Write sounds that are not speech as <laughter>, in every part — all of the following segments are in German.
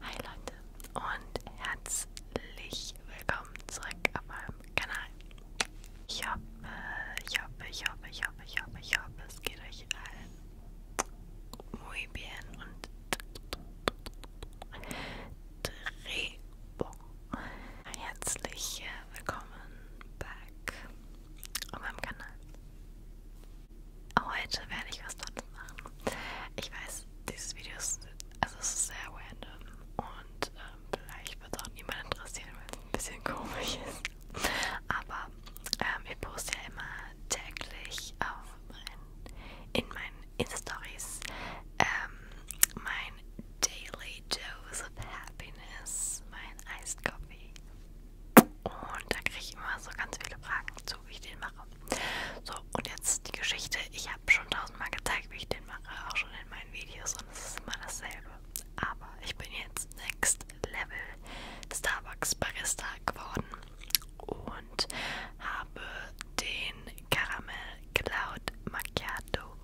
Hi Leute und herzlich willkommen zurück auf meinem Kanal. Ich hoffe, ich hoffe, ich hoffe, ich hoffe, ich hoffe, ich hoffe, es geht euch allen muy bien und Drehbuch. Herzlich äh, willkommen back auf meinem Kanal. Oh, heute werde ich was anderes machen. Ich weiß, dieses Video ist, also es ist sehr random und äh, vielleicht wird es auch niemand interessieren, weil es ein bisschen <laughs> komisch ist. Aber ähm, ich poste ja immer täglich auf mein, in meinen Insta-Stories ähm, mein Daily Dose of Happiness, mein Iced Coffee. Und da kriege ich immer so ganz viele Fragen zu, wie ich den mache. So, und jetzt die Geschichte. Ich habe schon tausendmal gezeigt, wie ich den mache, auch schon in meinen Videos und es ist immer dasselbe. Aber ich bin jetzt Next Level Starbucks Barista geworden und habe den Caramel Cloud Macchiato,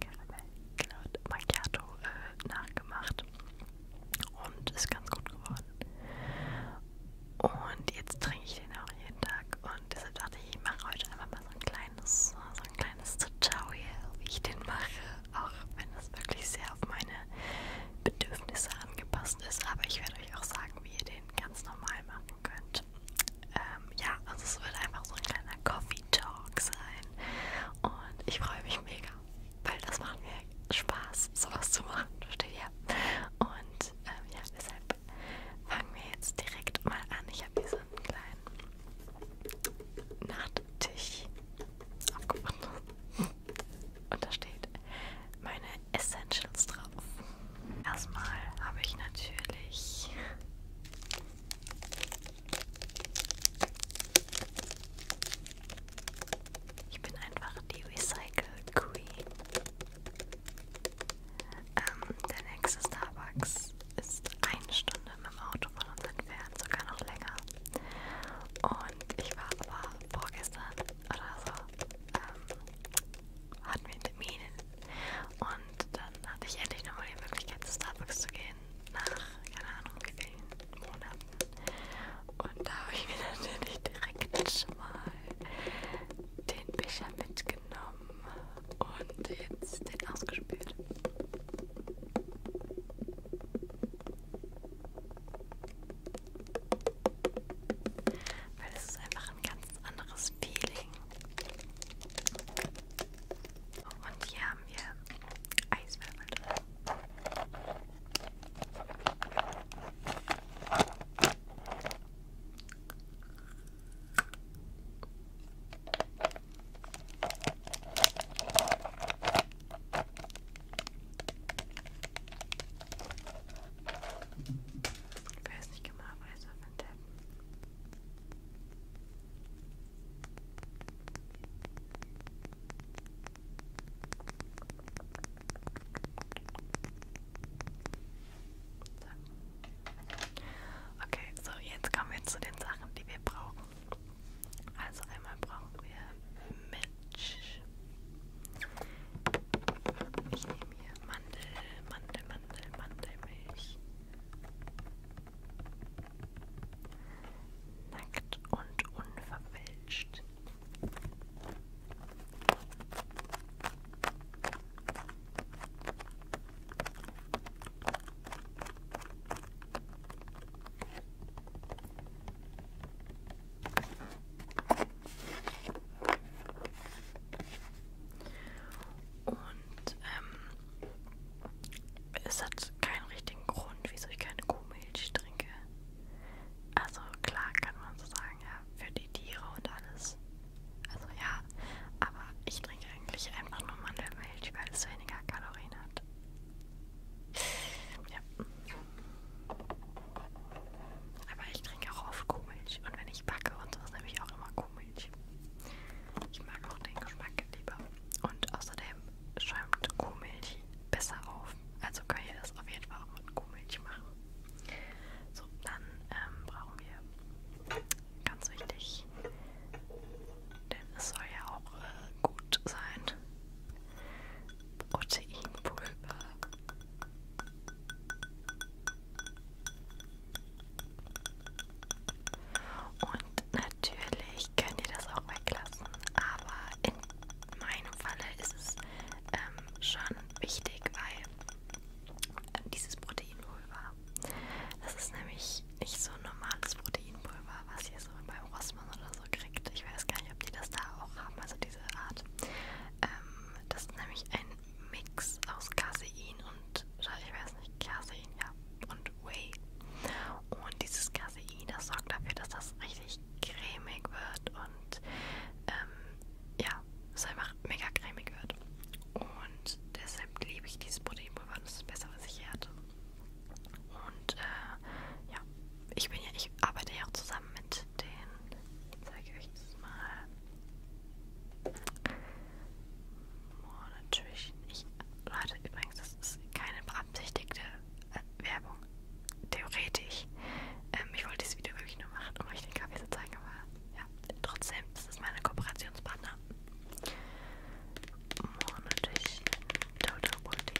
Caramel Cloud Macchiato äh, nachgemacht und ist ganz gut geworden. Und jetzt trinke ich den auch jeden Tag und deshalb dachte ich, ich mache heute einfach mal so ein kleines, so ein kleines Tutorial, wie ich den mache, auch wenn das wirklich sehr auf meine Bedürfnisse angepasst ist. Aber ich werde euch auch sagen, wie ihr den ganz normal machen könnt. Ähm, ja, also es wird einfach so ein kleiner Coffee Talk sein und ich freue mich mega weil das macht mir Spaß, sowas zu machen, versteht ihr? Und ähm, ja, deshalb fangen wir jetzt direkt mal an. Ich habe hier so einen kleinen Nachttisch aufgebunden <laughs> und da steht meine Essentials drauf. Erstmal habe ich natürlich ich bin einfach die Recycle Queen. Ähm, der nächste Starbucks ist eine Stunde mit dem Auto von uns entfernt, sogar noch länger. Und ich war aber vorgestern oder so, ähm, hatten wir einen Termin und dann hatte ich endlich nochmal die Möglichkeit zu Starbucks zu gehen, nach, keine Ahnung, wie vielen Monaten. Und da habe ich mir <laughs> natürlich direkt schon mal den Becher mitgenommen und jetzt den ausgespült. Weil es ist einfach ein ganz anderes Feeling. Und hier haben wir Eiswürfel drin. Ich weiß nicht genau, was auf den Teppen. Okay, so jetzt kommen wir zu den Sachen, die wir brauchen. Also einmal brauchen wir Milch. Ich nehme hier Mandel, Mandel, Mandel, Mandelmilch. Nackt und unverfälscht. Und ähm, es hat keinen richtigen Grund, wieso ich keine Kuhmilch trinke. Also klar kann man so sagen, ja, für die Tiere und alles. Also ja, aber ich trinke eigentlich einfach nur Mandelmilch, weil es weniger Kalorien hat. Ja. Aber ich trinke auch oft Kuhmilch und wenn ich backe und sowas nehme ich auch immer Kuhmilch. Ich mag auch den Geschmack lieber. Und außerdem schäumt Kuhmilch besser auf kaufen. Also kann ich das auf jeden Fall auch mit Kuhmilch machen. So, dann ähm, brauchen wir ganz wichtig, denn es soll ja auch äh, gut sein, Proteinpulver. Und natürlich könnt ihr das auch weglassen, aber in meinem Falle ist es ähm, schon wichtig, weil dieses Proteinpulver, das ist nämlich nicht so ein normales Proteinpulver, was ihr so beim Rossmann oder so kriegt. Ich weiß gar nicht, ob die das da auch haben, also diese Art. Ähm, das ist nämlich ein Mix aus Casein und, ich weiß nicht, Casein, ja, und Whey. Und dieses Casein, das sorgt dafür, dass das richtig richtig cremig wird und ähm, ja, es einfach mega cremig wird. Und deshalb liebe ich dieses Proteinpulver. Das ist das Beste, was ich hier hatte. Und äh, ja, ich bin ja, ich arbeite ja auch zusammen mit den. Zeige ich euch das mal. Oh, natürlich nicht. Leute, übrigens, das ist keine beabsichtigte äh, Werbung. Theoretisch. Ähm, ich wollte dieses Video wirklich nur machen, um euch den Kaffee zu zeigen, aber ja, trotzdem, das ist meine Kooperationspartner. Monatlich Total Multi.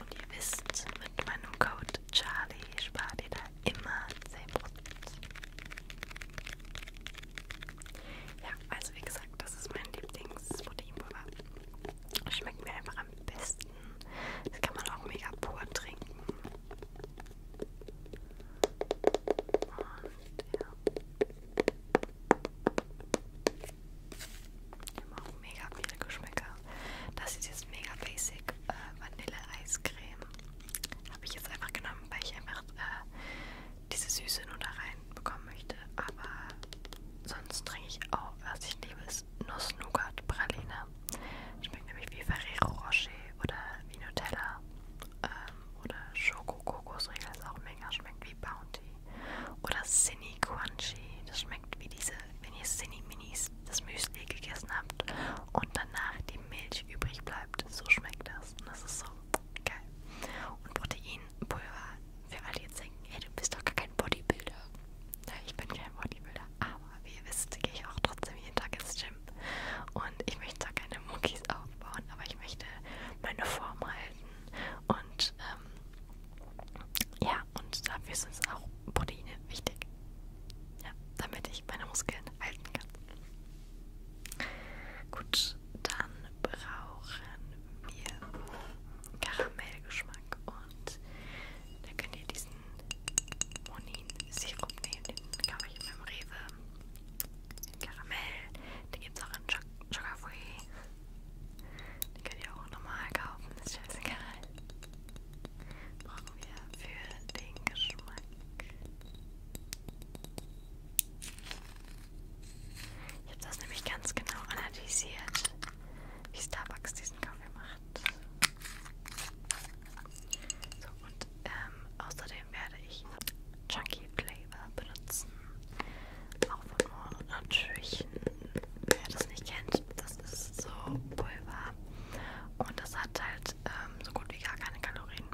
Und ihr wisst, mit meinem Code Charlie spart ihr da immer 10%. Ja, also wie gesagt, das ist mein Lieblingsproteinpulver. Schmeckt mir einfach am besten. Das kann man auch mega pur trinken. Und ja. Ich habe auch mega viele Geschmäcker. Das ist jetzt mega basic äh, Vanille-Eiscreme. Habe ich jetzt einfach genommen, weil ich einfach äh, diese Süße nur da reinbekommen möchte. Aber sonst trinke ich auch, was ich liebe, ist Nuss-Nougat-Praline. Schmeckt nämlich wie Ferrero Rocher oder wie Nutella. Ähm, oder Schoko-Kokosriegel ist auch mega, schmeckt wie Bounty. Oder Cine Crunchy, das schmeckt wie diese, wenn ihr Cine Minis, das Müsli gegessen habt und danach die Milch übrig bleibt. So schmeckt das und das ist so geil. Und Proteinpulver für alle jetzt denken, hey, du bist doch gar kein Bodybuilder. Ja, ich bin kein Bodybuilder, aber wie ihr wisst, gehe ich auch trotzdem jeden Tag ins Gym. Und ich möchte zwar keine Muckis aufbauen, aber ich möchte meine Form halten. Und ähm, ja, und dafür ist uns auch Proteine wichtig. Ja, damit ich meine Muskeln halten kann. Gut, und dann brauchen wir Karamellgeschmack. Und da könnt ihr diesen Monin-Sirup nehmen. Den kaufe ich beim Rewe. Den Karamell. Den gibt es auch in Sugar Free. Den könnt ihr auch normal kaufen. Das ist scheißegal. Brauchen wir für den Geschmack. Ich habe das nämlich ganz genau analysiert, wie Starbucks diesen Kaffee macht. So, und ähm, außerdem werde ich Chunky Flavor benutzen. Auch von Moore natürlich. Wer das nicht kennt, das ist so Pulver. Und das hat halt ähm, so gut wie gar keine Kalorien.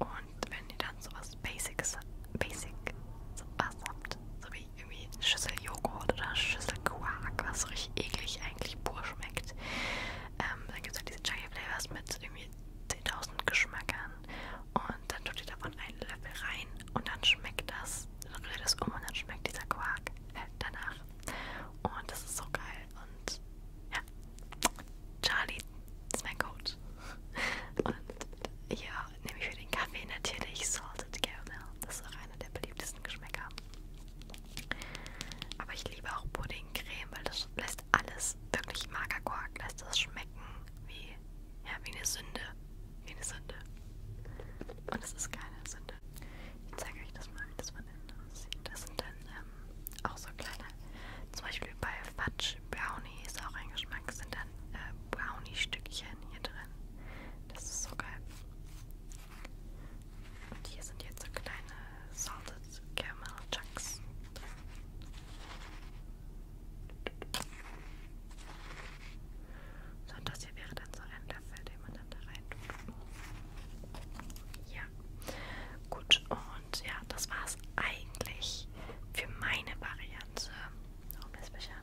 Und wenn ihr dann sowas Basics, Basic was habt, so wie irgendwie Schüssel Joghurt oder Schüssel Quark, was richtig eklig eigentlich pur schmeckt. Ähm, dann gibt es halt diese Chunky Flavors mit irgendwie 10.000 Geschmäckern und dann tut ihr davon einen Löffel rrein und dann schmeckt das, dann rührt das um und dann schmeckt dieser Quark äh, danach. Und das ist so geil und ja, Charlie ist mein Coach. <laughs> Und ja, nämlich für den Kaffee natürlich Salted Caramel. Das ist auch einer der beliebtesten Geschmäcker. Aber ich liebe auch Puddingcreme, weil das lässt alles, wirklich Magerquark, lässt das schmecken wie, ja, wie eine Sünde. Wie eine Sünde. Und es ist keine Sünde. Ich zeige euch das mal, wie das von innen aussieht. Das sind dann ähm, auch so kleine, zum Beispiel bei Fudge Brownie ist auch ein Geschmack, sind dann äh, Brownie-Stückchen hier drin. Das ist so geil. Und hier sind jetzt so kleine Salted Caramel Chunks drin. So, und das hier wäre dann so ein Löffel, den man dann da rein tut. Ja, gut. Und ja, das war's eigentlich für meine Variante. Home Special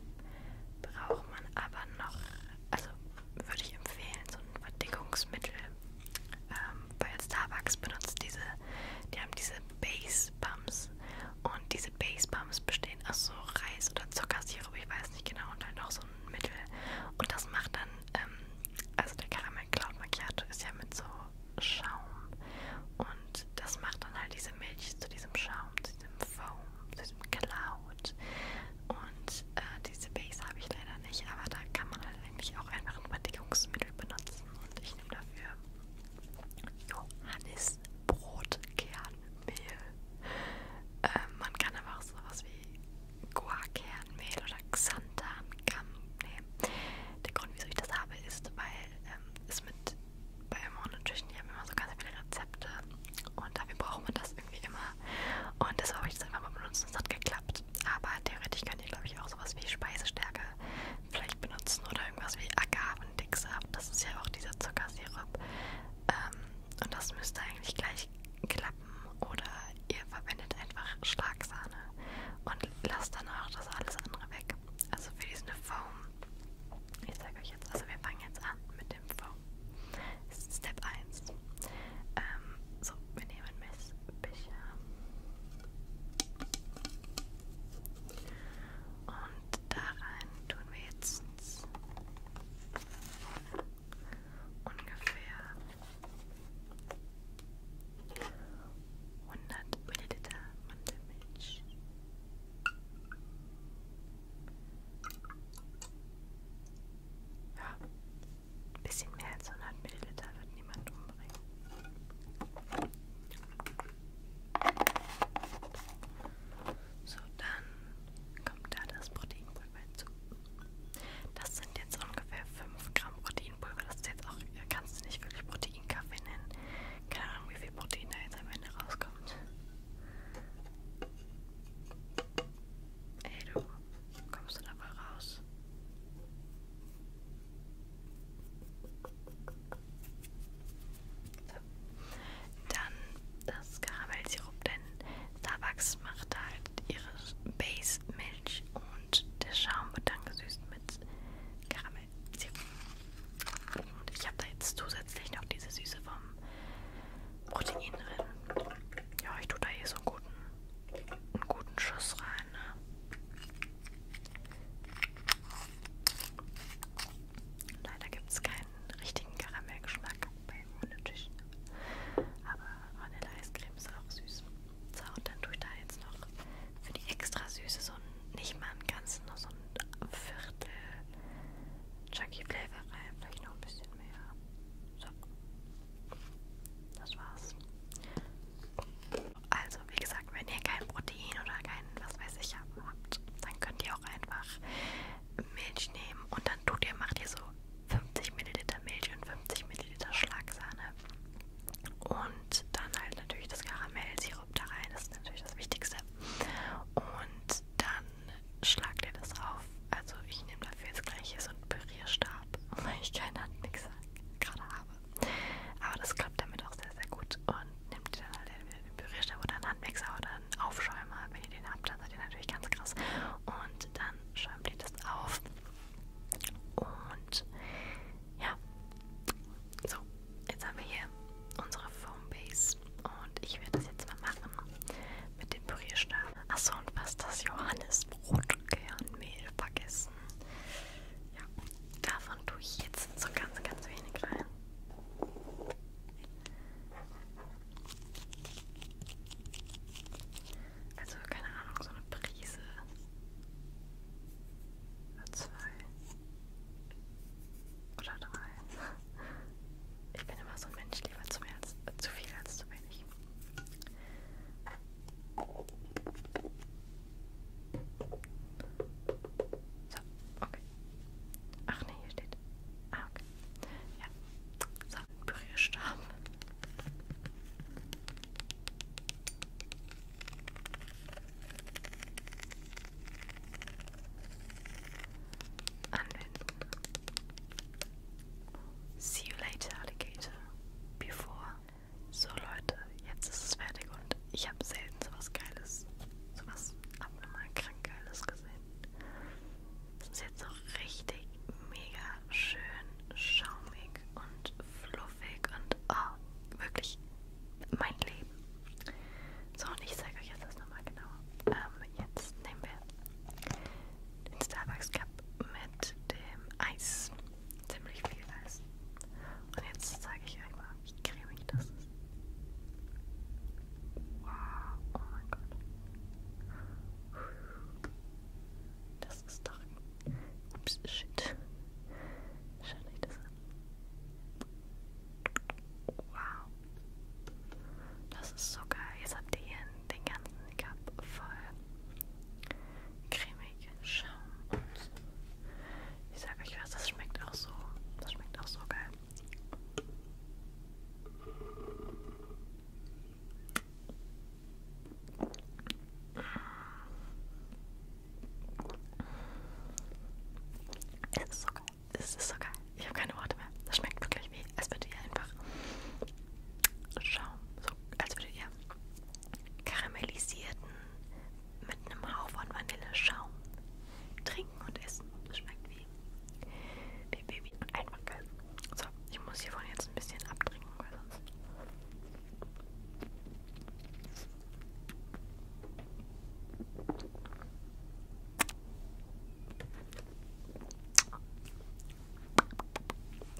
braucht man aber noch, also würde ich empfehlen, so ein Verdickungsmittel, ähm, weil Starbucks benutzt diese, die haben diese Base Bums und diese Base Bums bestehen aus so Reis oder Zuckersirup, ich weiß nicht genau, und halt noch so ein Mittel und das macht dann, ähm, also der Caramel Cloud Macchiato ist ja mit so Schaum und das macht dann halt diese Milch zu diesem Schaum, zu diesem Foam das ist Cloud. Und äh, diese Base habe ich leider nicht, aber da kann man halt eigentlich auch einfach ein Verdickungsmittel benutzen. Und ich nehme dafür Johannisbrotkernmehl. Ähm, man kann aber auch sowas wie Guarkernmehl oder Xanthankamm nehmen. Der Grund, wieso ich das habe, ist, weil ähm, es mit bei Mona Tischen, die haben immer so ganz viele Rezepte und dafür braucht man das irgendwie immer. Und das habe ich jetzt einfach mal benutzt und es hat geklappt. Aber theoretisch kann ich glaube ich auch sowas wie Speisestärke vielleicht benutzen oder irgendwas wie Agavendicksaft. Das ist ja auch dieser Zuckersirup. Ähm, und das müsste eigentlich gleich klappen. Oder ihr verwendet einfach Schlagsahne und lasst dann auch das alles andere weg. Also für diesen Foam. Ich zeige euch jetzt, also wir fangen jetzt an mit Schweißdämpfer. Step 1. Ähm, so, wir nehmen Messbecher. Und da rein tun wir jetzt ungefähr 100 Milliliter Mandelmilch. Ja, ein bisschen mehr als 100 Milliliter wird niemand umbringen. So, dann kommt da das Proteinpulver hinzu. Das sind jetzt ungefähr 5 Gramm Proteinpulver. Das ist jetzt auch, äh, kannst du nicht wirklich Proteinkaffee nennen. Keine Ahnung, wie viel Protein da jetzt am Ende rauskommt. Ey, du, kommst du da mal raus? So. Dann das Karamellsirup, denn Starbucks macht halt ihre Base-Milch und der Schaum wird dann gesüßt mit Karamellsirup. Und ich habe da jetzt zusätzlich noch diese Süße vom Protein drin. Ja, ich tue da hier eh so einen guten, einen guten Schuss rein. Ne? Leider gibt es keinen richtigen Karamellgeschmack bei Monetisch. Aber Vanille-Eiscreme ist auch süß. So, und dann tue ich da jetzt noch für die extra Süße so ein, nicht mal einen ganzen, nur so ein Viertel Chucky Flavor rein, vielleicht noch ein bisschen mehr. So. Das war's. Also, wie gesagt, wenn ihr kein Protein oder kein, was weiß ich, habt, dann könnt ihr auch einfach Milch nehmen und dann tut ihr, macht ihr so 50 Milliliter Milch und 50 Milliliter Schlagsahne. Und dann halt natürlich das Karamellsirup da rein, das ist natürlich das Wichtigste. Und dann dann schlag dir das auf. Also ich nehme dafür jetzt gleich hier so einen Pürierstab, <laughs> weil ich keinen Handmixer gerade habe. Aber das klappt damit auch sehr, sehr gut. Und nehmt ihr dann halt entweder den Pürierstab oder einen Handmixer oder einen Aufschäumer. Wenn ihr den habt, dann seid ihr natürlich ganz krass. Und dann schäumt ihr das auf. Und ja, so, jetzt haben wir hier unsere Foambase und ich werde das jetzt mal machen mit dem Pürierstab. Achso, und was das Johannesbrotkernmehl vergessen. Ja, davon tue ich jetzt so ganz, ganz wenig rein. Also, keine Ahnung, so eine Prise. Oder zwei. Oder drei. Ich bin immer so ein Mensch, lieber zum Herz, äh, zu viel als zu wenig. So, okay. Ach ne, hier steht. Ah, okay. Ja. So, Pürierstab anwenden. See you later, Alligator. Before. So Leute, jetzt ist es fertig und ich habe selten sowas Geiles, sowas abnormal krank Geiles gesehen. Es ist jetzt auch richtig mega schön schaumig und fluffig und oh, wirklich mein Leben. So, und ich zeige euch jetzt das nochmal genauer. Ähm, jetzt nehmen wir den Starbucks Cup mit dem Eis. Ziemlich viel Eis. Und jetzt zeige ich euch mal, wie cremig das ist. Wow, oh mein Gott. Das ist doch... Ups, shit. Schaut euch das an. Wow. Das ist so geil. Jetzt habt ihr hier den ganzen Cup voll cremig Schaum. Und ich sag euch was, das schmeckt auch so. Das schmeckt auch so geil. Es ist so geil. Es ist so geil. Ich habe keine Worte mehr. Das schmeckt wirklich wie, als würde ihr einfach Schaum, so als würde ihr karamellisierten mit einem Hauch von Vanilleschaum trinken und essen. Das schmeckt wie, wie Baby und einfach geil. So, ich muss hiervon jetzt ein bisschen abtrinken, weil sonst.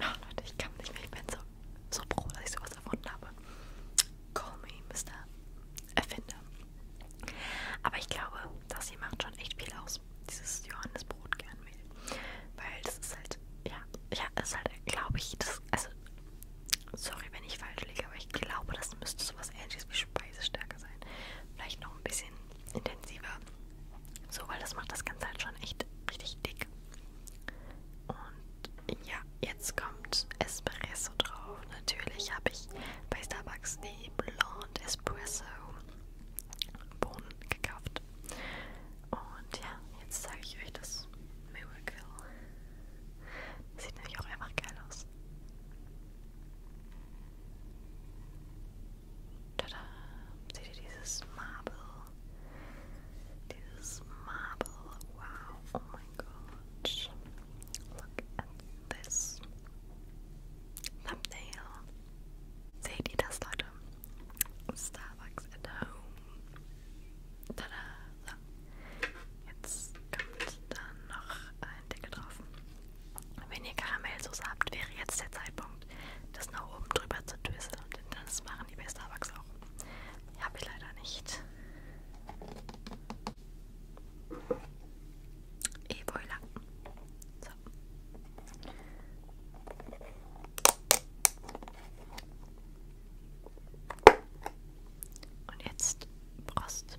Oh, Leute, ich kann nicht mehr. Ich bin so, so froh, dass ich sowas erfunden habe. Call me, Mr. Erfinder. Aber ich glaube, das hier macht schon echt viel aus. Dieses Johannesbrotkernmehl. Weil das ist halt, ja, ja, das ist halt, glaube ich, das, also, sorry, wenn ich falsch liege, aber ich glaube, das müsste sowas ähnliches wie Speisestärke sein. Vielleicht noch ein bisschen intensiver. So, weil das macht das Ganze halt schon echt richtig dick. Und ja, jetzt kommt Espresso drauf. Natürlich habe ich bei Starbucks die Blonde Espresso Bohnen gekauft. Und ja, jetzt zeige ich euch das Miracle. Das sieht nämlich auch einfach geil aus. Tada! Seht ihr dieses Marble? Dieses Marble. Wow. Oh mein Gott. Look at this. Thumbnail. Seht ihr das, Leute? Starbucks at home. Tada! So. Jetzt kommt dann noch ein Deckel drauf. Wenn ihr Karamellsoße habt, wäre jetzt der Zeitpunkt, das nach oben drüber zu düsseln. Denn das machen die bei Starbucks auch. Habe ich leider nicht. Et eh, voilà. So. Und jetzt Prost.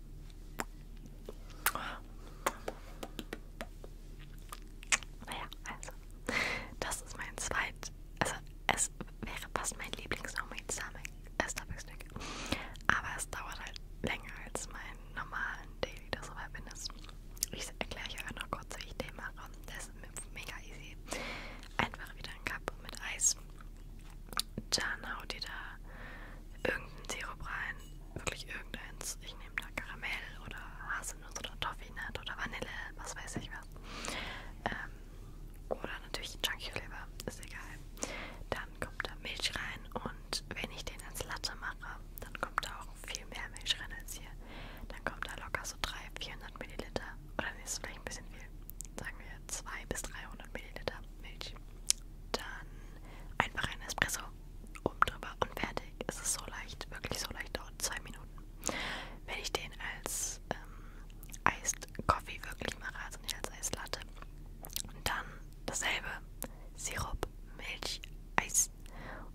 Naja, also, das ist mein zweit, also es wäre fast mein Lieblingsnormal äh, Starbucks-Snack, aber es dauert halt länger als meinen normalen Daily, das so bin ist. Ich erkläre euch einfach noch kurz, wie ich den mache. Das ist mega easy. Einfach wieder ein Cup mit Eis dann haut ihr da irgendeinen Sirup rein. Wirklich irgendeins. Ich nehme da Karamell oder Haselnuss oder Toffinat oder Vanille, was weiß ich was. Ähm, oder natürlich Chunky Flavor, ist egal. Dann kommt da Milch rein und wenn ich den als Latte mache, dann kommt da auch viel mehr Milch rein als hier. Dann kommt da locker so 300, 400 Milliliter. Oder nee, ist vielleicht ein bisschen viel. Sagen wir 200 bis 300 Milliliter Milch. Dann einfach ein Espresso oben drüber und fertig. Es ist so leicht, wirklich so leicht, dauert zwei Minuten. Wenn ich den als ähm, Iced Coffee wirklich mache, also nicht als Eislatte, und dann dasselbe, Sirup, Milch, Eis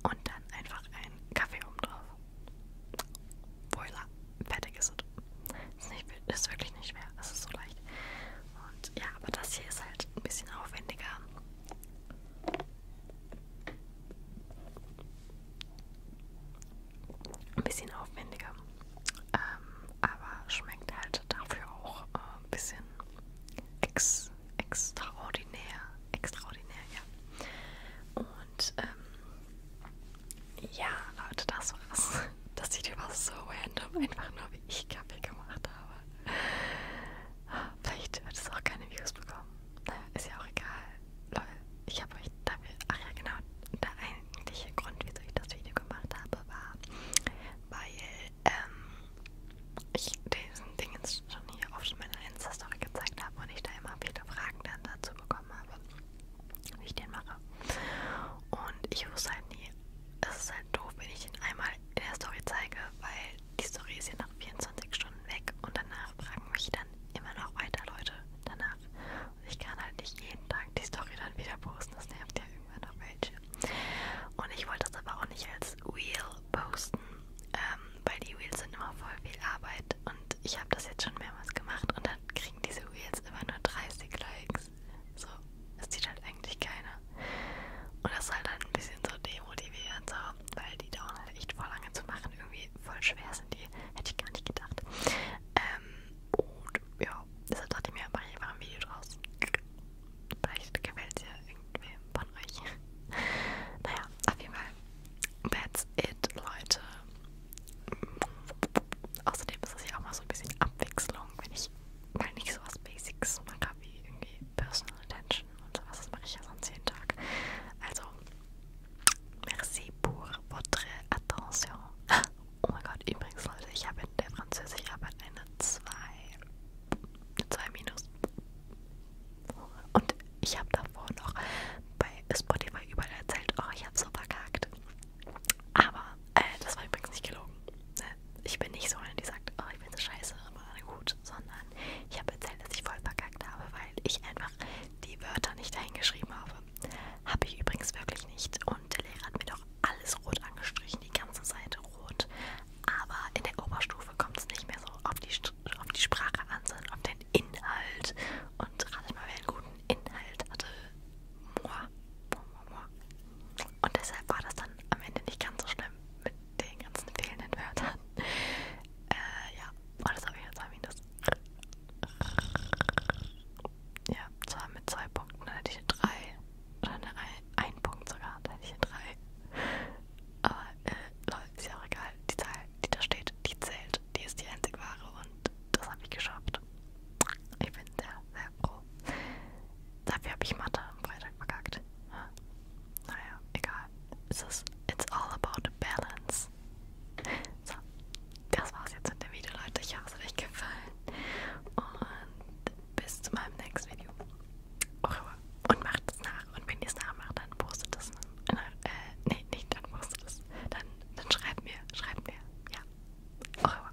und dann einfach einen Kaffee oben drauf. Voila, fertig ist es. Ist, nicht, ist wirklich nicht schwer. Es ist so leicht. Und ja, aber das hier ist halt ein bisschen aufwendiger. Ein bisschen aufwendiger. Ähm, aber schmeckt halt dafür auch äh, ein bisschen ex extraordinär. Extraordinär, ja. Und ähm, ja, Leute, das war's. Das Video war so random, einfach nur wie ich Kaffee gemacht habe. Vielleicht wird es auch keine Views bekommen. Naja, ist ja auch egal. Leute, ich habe euch dafür. Ach ja, genau. Der eigentliche Grund, wieso ich das Video gemacht habe, war, weil ähm, ich diesen Dingens schon hier oft in meiner Insta-Story gezeigt habe und ich da immer viele Fragen dann dazu bekommen habe, wie ich den mache. Und ich wusste halt nie, es ist halt doof, wenn ich den einmal in der Story zeige, weil die Story ist ja nach 24 Stunden weg und danach fragen mich dann immer noch weiter Leute danach. Und ich kann halt nicht jeden Tag die Story dann wieder posten, das nervt ja irgendwann noch welche. Und ich wollte das aber auch nicht als Wheel posten, ähm, weil die Wheels sind immer voll viel Arbeit und ich habe das jetzt schon mehrmals gemacht und dann kriegen diese Wheels immer nur 30 Likes nix. So, es sieht halt eigentlich keiner. Und das ist halt dann ein bisschen so demotivierend, so, weil die dauern halt echt voll lange zu machen. Irgendwie voll schwer sind die. Hätte ich gar nicht gedacht. Ähm, und ja, deshalb dachte ich mir, mache ich einfach ein Video draus. Vielleicht gefällt es ja irgendwem von euch. <laughs> naja, auf jeden Fall. That's it, Leute. Außerdem ist es ja auch mal so ein bisschen Abwechslung, wenn ich mal nicht so was Basics mache wie irgendwie Personal Attention und sowas. Das mache ich ja sonst jeden Tag. Also, merci pour votre attention. <laughs> Oh mein Gott, übrigens Leute, ich habe in der Französischarbeit eine 2. Eine 2 minus. Und ich habe davor noch bei Spotify überall erzählt, oh, ich habe so verkackt. Aber äh, das war übrigens nicht gelogen. Ne, ich bin nicht so eine, die sagt, oh, ich bin so scheiße, aber gut, sondern ich habe erzählt, dass ich voll verkackt habe, weil ich einfach die Wörter nicht dahingeschrieben habe. Habe ich übrigens wirklich nicht. Und der Lehrer hat mir doch alles rot angestrichen, die ganze Seite rot. Aber in der Oberstufe kommt es nicht mehr so auf die, auf die Sprache an, sondern auf den Inhalt. Und ratet mal, wer einen guten Inhalt hatte. Moi. Moi, moi, moi. Und deshalb war das dann am Ende nicht ganz so schlimm mit den ganzen fehlenden Wörtern. Äh, ja, und das habe ich jetzt mal minus. Ja, zwar mit zwei Punkten, dann hätte ich eine 3. Oder eine ein, ein Punkt sogar, dann hätte ich eine 3. Aber, äh, Leute, ist ja auch egal. Die Zahl, die da steht, die zählt. Die ist die einzig wahre und das habe ich geschafft gut. Ich bin sehr, sehr froh. Dafür habe ich Mathe am Freitag verkackt. Naja, egal. Es ist it's all about balance. So, das war's jetzt mit dem Video, Leute. Ich hoffe, es hat euch gefallen. Und bis zu meinem nächsten Video. Und macht es nach. Und wenn ihr es nachmacht, dann postet es. Äh, nach, äh, nee, nicht, dann postet es. Dann, dann schreibt mir, schreibt mir. Ja. Au revoir.